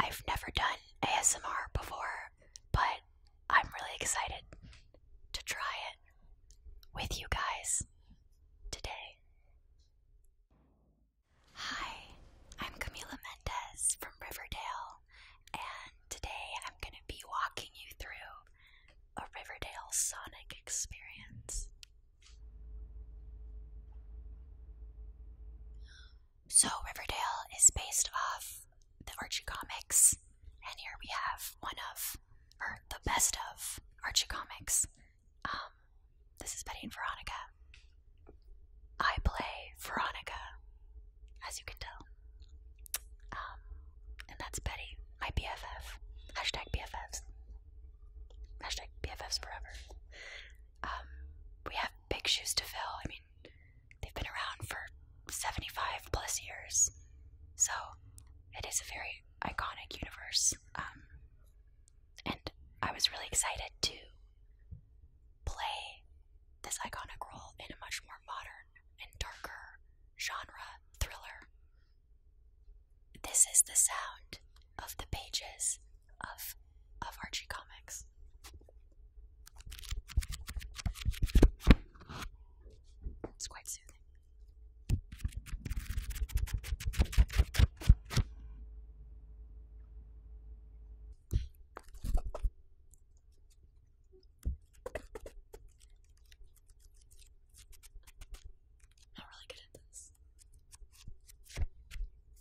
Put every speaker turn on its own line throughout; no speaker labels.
I've never done ASMR before, but I'm really excited to try it with you guys today. Hi, I'm Camila Mendez from Riverdale, and today I'm going to be walking you through a Riverdale Sonic experience. So, Riverdale is based off the Archie comics, and here we have one of, or the best of, Archie comics. Um, this is Betty and Veronica. I play Veronica, as you can tell. Um, and that's Betty, my BFF. Hashtag BFFs. Hashtag BFFs forever. Um, we have big shoes to fill. I mean, They've been around for 75 plus years, so it is a very iconic universe. Um, and I was really excited to play this iconic role in a much more modern and darker genre thriller. This is the sound of the pages of of Archie Comics. It's quite soothing. not really good at this.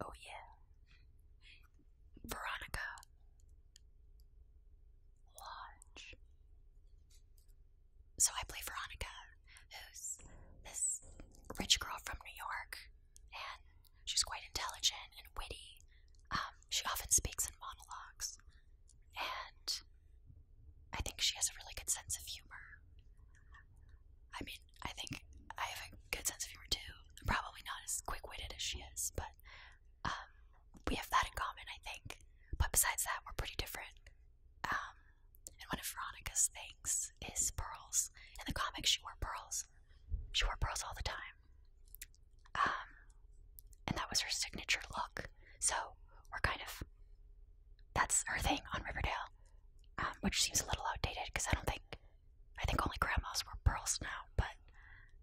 Oh, yeah. Veronica so I play Veronica, who's this rich girl from New York, and she's quite intelligent and witty. Um, she often speaks in monologues, and I think she has a really good sense of humor. I mean, I think I have a good sense of humor too. I'm probably not as quick witted as she is, but um, we have that in common, I think. But besides that, we're pretty different. Um, and one of Veronica's things is pearls. In the comics, she wore pearls. She wore pearls all the time. Um, and that was her signature look. So we're kind of. That's her thing on Riverdale. Um, which seems a little outdated because I don't think. I think only grandmas wear pearls now, but fun.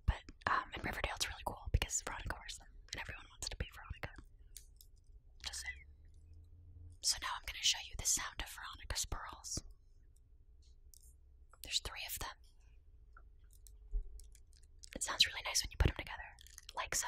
But in um, Riverdale, it's really cool because Veronica wears them, and everyone wants to be Veronica. Just So now I'm going to show you the sound of Veronica's pearls. There's three of them. It sounds really nice when you put them together, like so.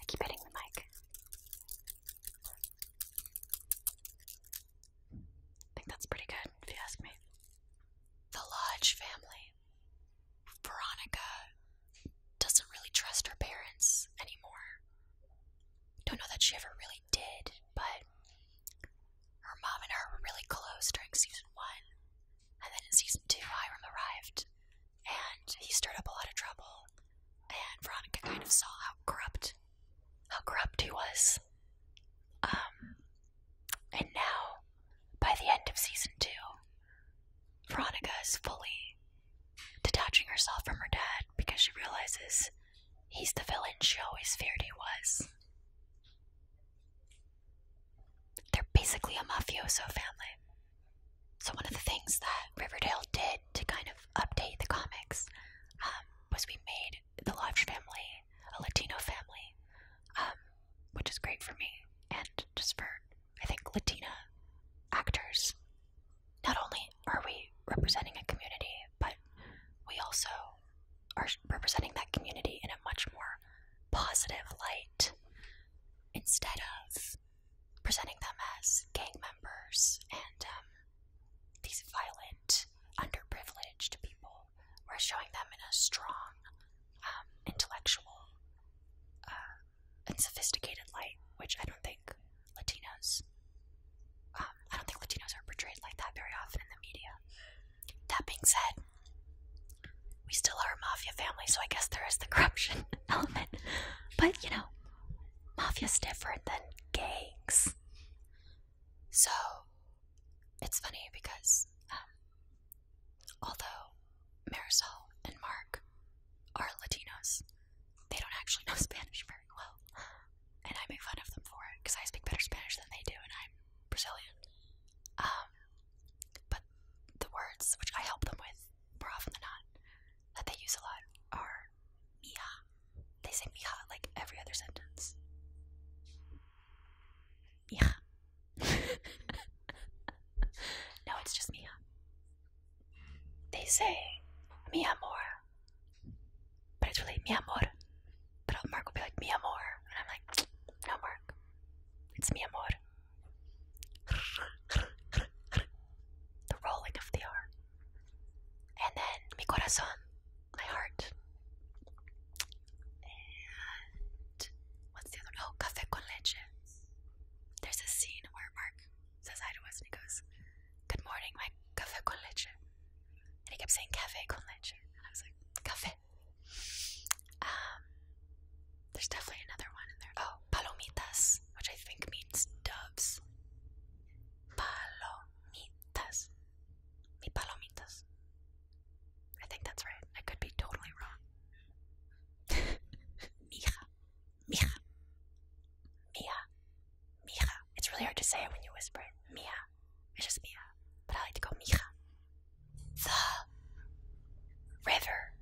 I keep hitting the mic. I think that's pretty good, if you ask me. The Lodge family. Veronica doesn't really trust her parents anymore. Don't know that she ever really did, but her mom and her were really close during season one. And then in season two, Hiram arrived, and he stirred up a lot of trouble. And Veronica kind of saw how corrupt, how corrupt he was. Um, and now, by the end of season two, Veronica is fully detaching herself from her dad because she realizes he's the villain she always feared he was. They're basically a mafioso family. So, one of the things that Riverdale did to kind of update the comics um, was we made the Lodge family a Latino family, um, which is great for me and just for, I think, Latina actors. Not only are we representing a community, but we also are representing that community in a much more positive light instead of presenting them as gang members and um, these violent, underprivileged people, we're showing them in a strong, um, intellectual, uh, and sophisticated light, which I don't think Latinos. Um, I don't think Latinos are portrayed like that very often in the media. That being said, we still are a mafia family, so I guess there is the corruption element. But you know, mafia's different than gangs. So it's funny because um, although Marisol and Mark are Latinos, they don't actually know Spanish very well, and I make fun of them for it because I speak better Spanish than they do, and I'm Brazilian. Um, but the words which I help them with more often than not that they use a lot are mia. They say mia like every other sentence. Mia. no, it's just mia. They say mia amor. But it's really mia amor. But Mark will be like mia amor. And I'm like, no, Mark. It's mia amor the rolling of the R. And then mi corazón, my heart. And what's the other Oh, café con leche. There's a scene where Mark says hi to us and he goes, Good morning, my café con leche. And he kept saying café con leche. And I was like, Café um, there's definitely another one in there. Oh, palomitas, which I think means doves. Palomitas. Mi palomitas. I think that's right. I could be totally wrong. Mia, mia, mia, mia. It's really hard to say it when you whisper it. Mija. It's just Mija. But I like to go Mija the river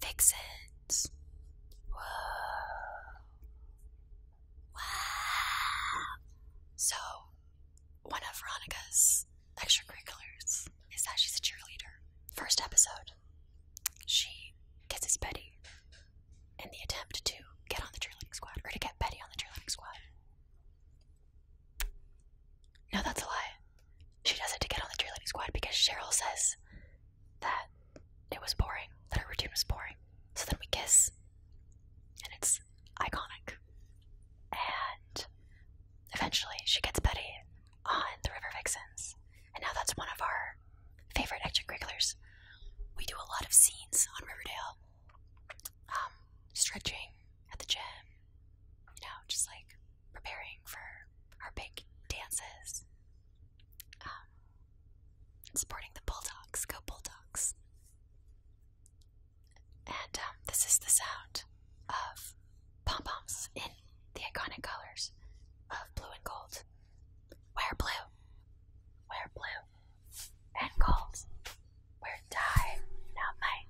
fixins. Whoa. Wow. So, one of Veronica's extracurriculars is that she's a cheerleader. First episode, she kisses Betty in the attempt to get on the cheerleading squad, or to get Betty on the cheerleading squad. No, that's a lie. She does it to get on the cheerleading squad because Cheryl says that it was boring, that her routine was boring. So then we kiss, and it's iconic. And eventually she gets Betty on the River Vixens, and now that's one of our favorite regulars. We do a lot of scenes on Riverdale, um, stretching at the gym, you know, just like preparing for our big dances, um, supporting the Bulldogs. Go Bulldogs! And um, this is the sound of pom poms in the iconic colors of blue and gold. Wear blue, wear blue and gold. Wear die, not might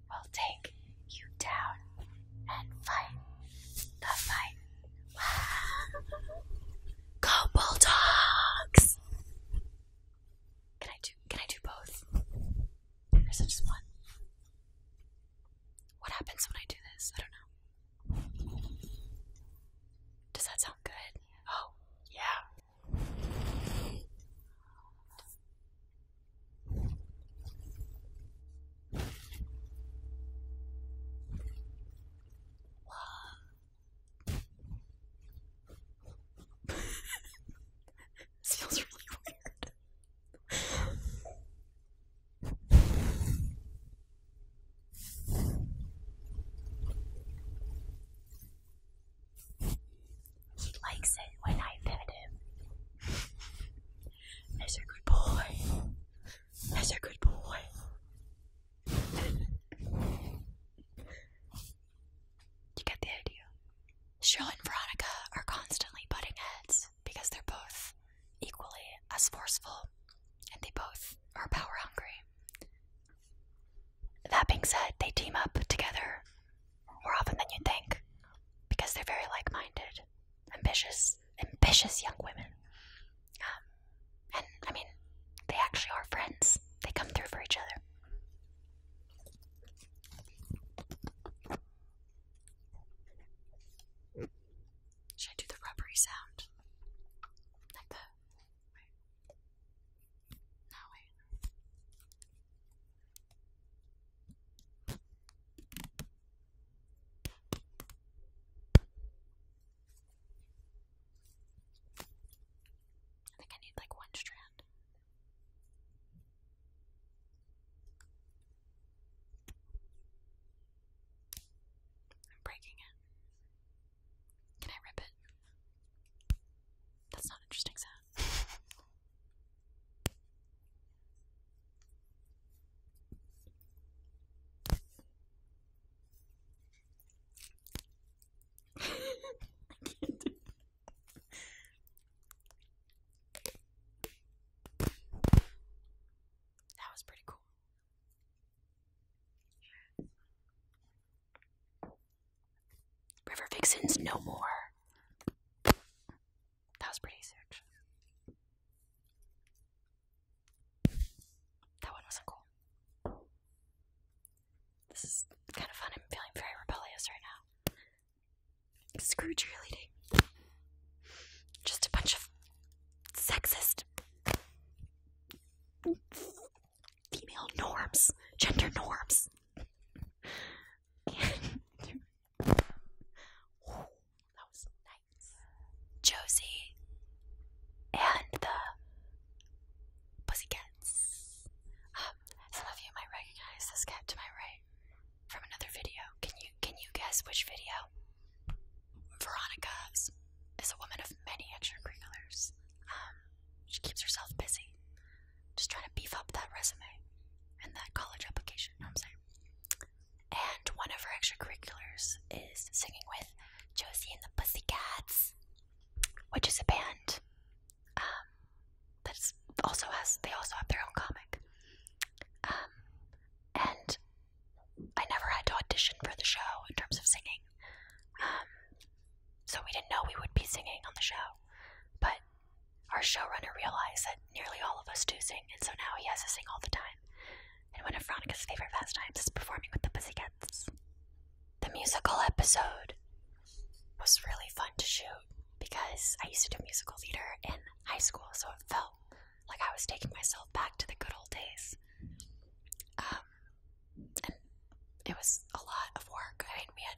we will take you down and fight the fight. Go Bulldogs! Can I do can I do both? Or is it just one? What happens when I do this? I don't know. Does that sound good? Oh, yeah this feels really weird. He likes it when I pet him. That's a good boy. That's a good boy. you get the idea. Cheryl and Veronica are constantly butting heads because they're both equally as forceful and they both are power hungry. That being said, they team up together more often than you would think because they're very like minded, ambitious, ambitious young women. Um, and I mean, they actually are friends, they come through for each other. Should I do the rubbery sound? Like the. No, wait. I think I need like one strand. I'm breaking it. Can I rip it? That's not interesting sound that was pretty cool. River Vixen's no more. That was pretty easy, That one wasn't cool. This is kind of fun. I'm feeling very rebellious right now. Screw cheerleading. Just a bunch of sexist female norms, gender norms. that was nice. Josie and the Pussycats. Um, some of you might recognize this cat to my right from another video. Can you can you guess which video? Veronica is a woman of many extracurriculars. Um, she keeps herself busy. Just trying to beef up that resume and that college application, you know what I'm saying? And one of her extracurriculars is singing with Josie and the Pussycats, which is a band um, that also has, they also have their own comic. Um, and I never had to audition for the show in terms of singing. Um, so we didn't know we would be singing on the show. But our showrunner realized that nearly all of us do sing, and so now he has us sing all the time. And one of Veronica's favorite pastimes is performing with the Pussycats. The musical episode was really fun to shoot because I used to do musical theater in high school, so it felt like I was taking myself back to the good old days. Um, and it was a lot of work. I mean,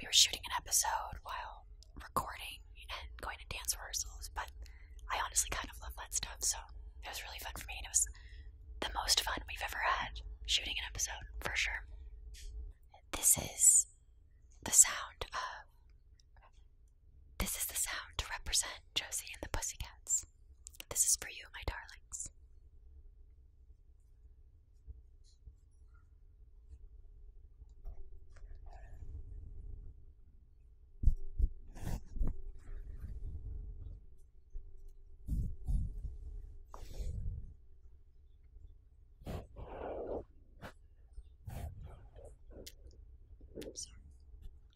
we were shooting an episode while recording and going to dance rehearsals, but I honestly kind of love that stuff, so it was really fun for me, and it was the most fun we've ever had shooting an episode, for sure. This is the sound of. This is the sound to represent Josie and the Pussycats. This is for you, my darlings. I'm sorry.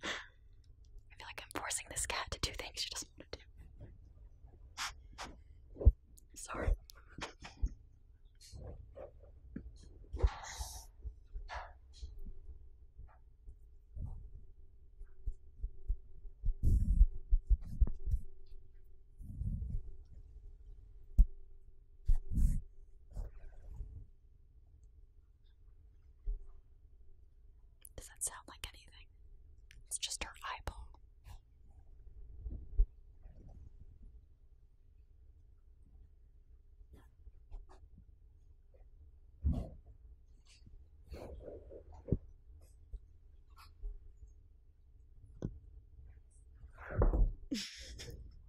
I feel like I'm forcing this cat to do things she doesn't want to do. Sorry. Does that sound like anything? It's just her eyeball.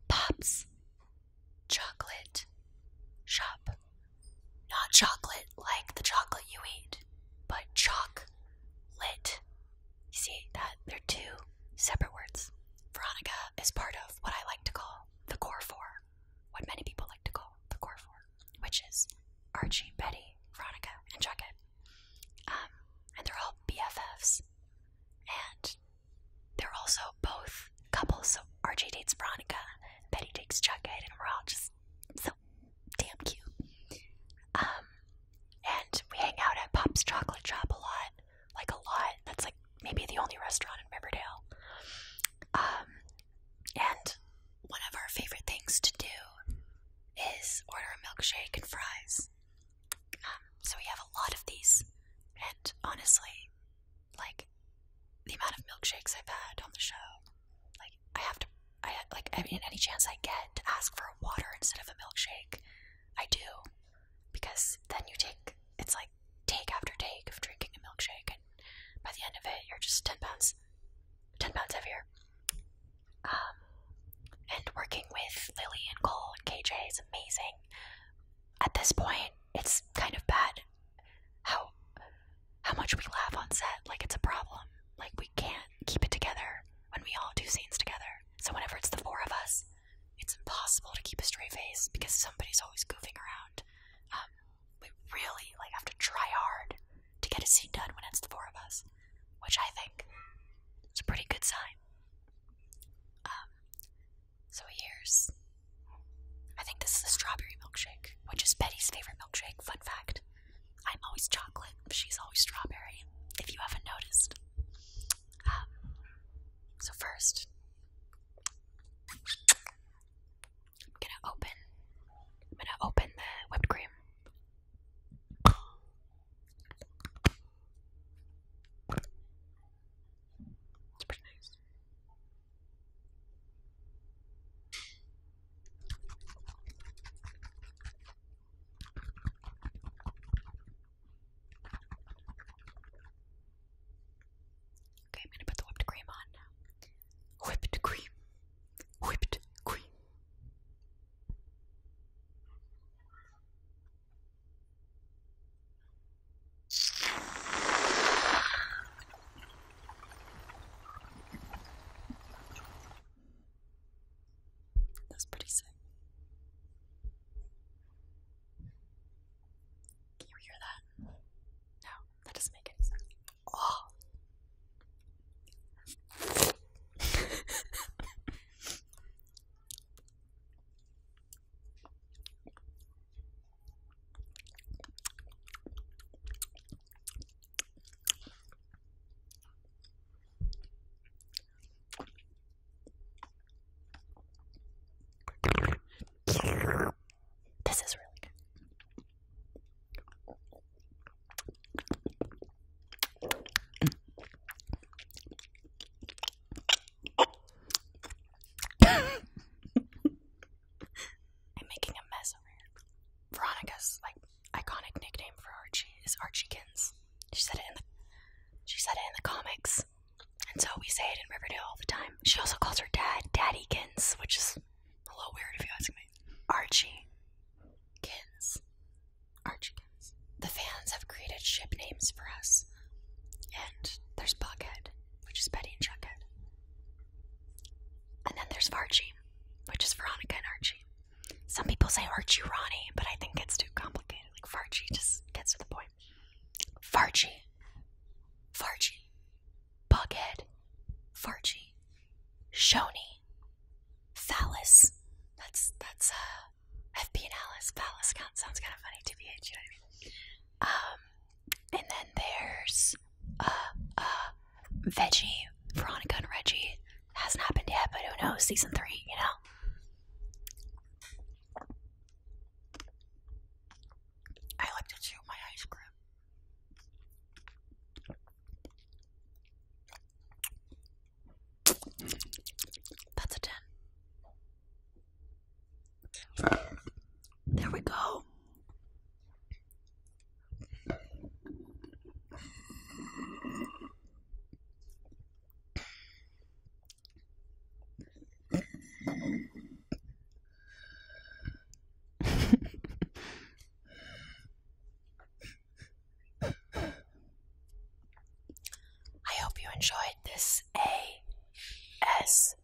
Pops. Chocolate. Shop. Not chocolate like the chocolate you eat, but chalk, Lit. You see that they're two separate words. Veronica is part of what I like to call the core four, what many people like to call the core four, which is Archie, Betty, Veronica, and Jughead. Um, and they're all BFFs, and they're also both couples. So Archie dates Veronica, Betty dates Jughead, and we're all just so damn cute. Um, and we hang out at Pop's Chocolate Shop a lot. Like, a lot. That's like maybe the only restaurant in Riverdale. Um, and one of our favorite things to do is order a milkshake and fries. Um, so we have a lot of these. And honestly, like, the amount of milkshakes I've had on the show, like, I have to, I like, I mean, any chance I get to ask for a water instead of a milkshake I do, because then you take it's like take after take of drinking a milkshake, and by the end of it, you're just ten pounds, ten pounds heavier. Um, and working with Lily and Cole and KJ is amazing. At this point, it's kind of bad how how much we laugh on set. Like it's a problem. Like we can't keep it together when we all do scenes together. So whenever it's the four of us, it's impossible to keep a straight face because somebody's always goofing around. Um, we really like have to try hard to get a scene done when it's the four of us, which I think is a pretty good sign. Um, so here's, I think this is a strawberry milkshake, which is Betty's favorite milkshake. Fun fact: I'm always chocolate, she's always strawberry. If you haven't noticed so, first, I'm gonna open. I'm gonna open the whipped cream. It's pretty nice. Okay, I'm gonna put the whipped cream on Whipped cream. Whipped cream. That's pretty sick. Can you hear that? No, that doesn't make any sense. Oh. This is really good. I'm making a mess over here. Veronica's like iconic nickname for Archie is Archiekins. She said it in the she said it in the comics. And so we say it in Riverdale all the time. She also calls her dad Daddykins, which is a little weird if you ask me. Archie Kins. Archie Kins. The fans have created ship names for us. And there's Buckhead, which is Betty and Chuckhead, And then there's Archie, which is Veronica and Archie. Some people say Archie Ronnie, but I think it's too complicated. Like Farchi just gets to the point. Farchie, Farchie, Bughead. Farchie, Shoni, Phallus. That's that's uh FP and Alice. Phallus sounds kinda funny, TBH, you know what I mean? Um and then there's uh, uh Veggie, Veronica and Reggie, Hasn't happened yet, but who knows? Season three, you know. I like to chew my ice cream. That's a 10. There we go. I hope you enjoyed this ASMR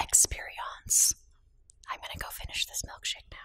experience. I'm going to go finish this milkshake now.